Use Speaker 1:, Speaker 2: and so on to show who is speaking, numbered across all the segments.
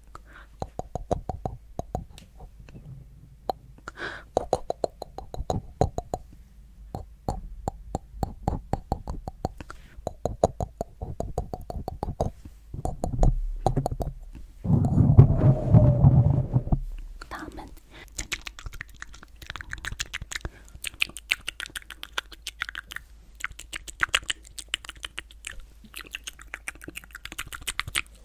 Speaker 1: 다음은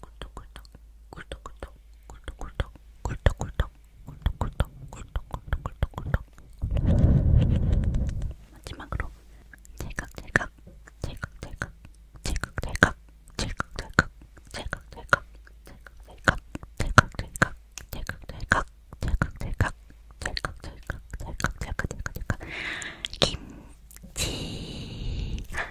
Speaker 1: 꿀떡꿀떡 꿀떡꿀떡 꿀떡꿀떡 꿀떡꿀떡 꿀떡꿀떡 꿀떡꿀떡 꿀떡꿀떡 마지막으로 찰칵찰칵 찰칵찰칵 찰칵찰칵 찰칵찰칵 찰칵찰칵 찰칵찰칵 찰칵찰칵 찰칵찰칵 찰칵찰칵 찰칵찰칵 찰칵찰칵 김치 이렇게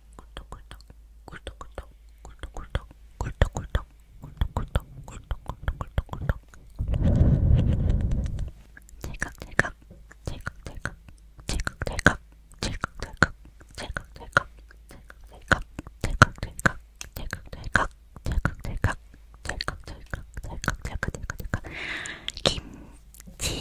Speaker 1: 꿀떡꿀떡 꿀떡꿀떡 꿀떡꿀떡 꿀떡꿀떡 꿀떡꿀떡 꿀떡꿀떡꿀떡꿀떡 찰칵찰칵 찰칵찰칵 찰칵찰칵 찰칵찰칵 찰칵찰칵 찰칵찰칵 찰칵찰칵 찰칵찰칵 찰칵찰칵 찰칵찰칵 찰칵찰칵 찰칵찰칵 김치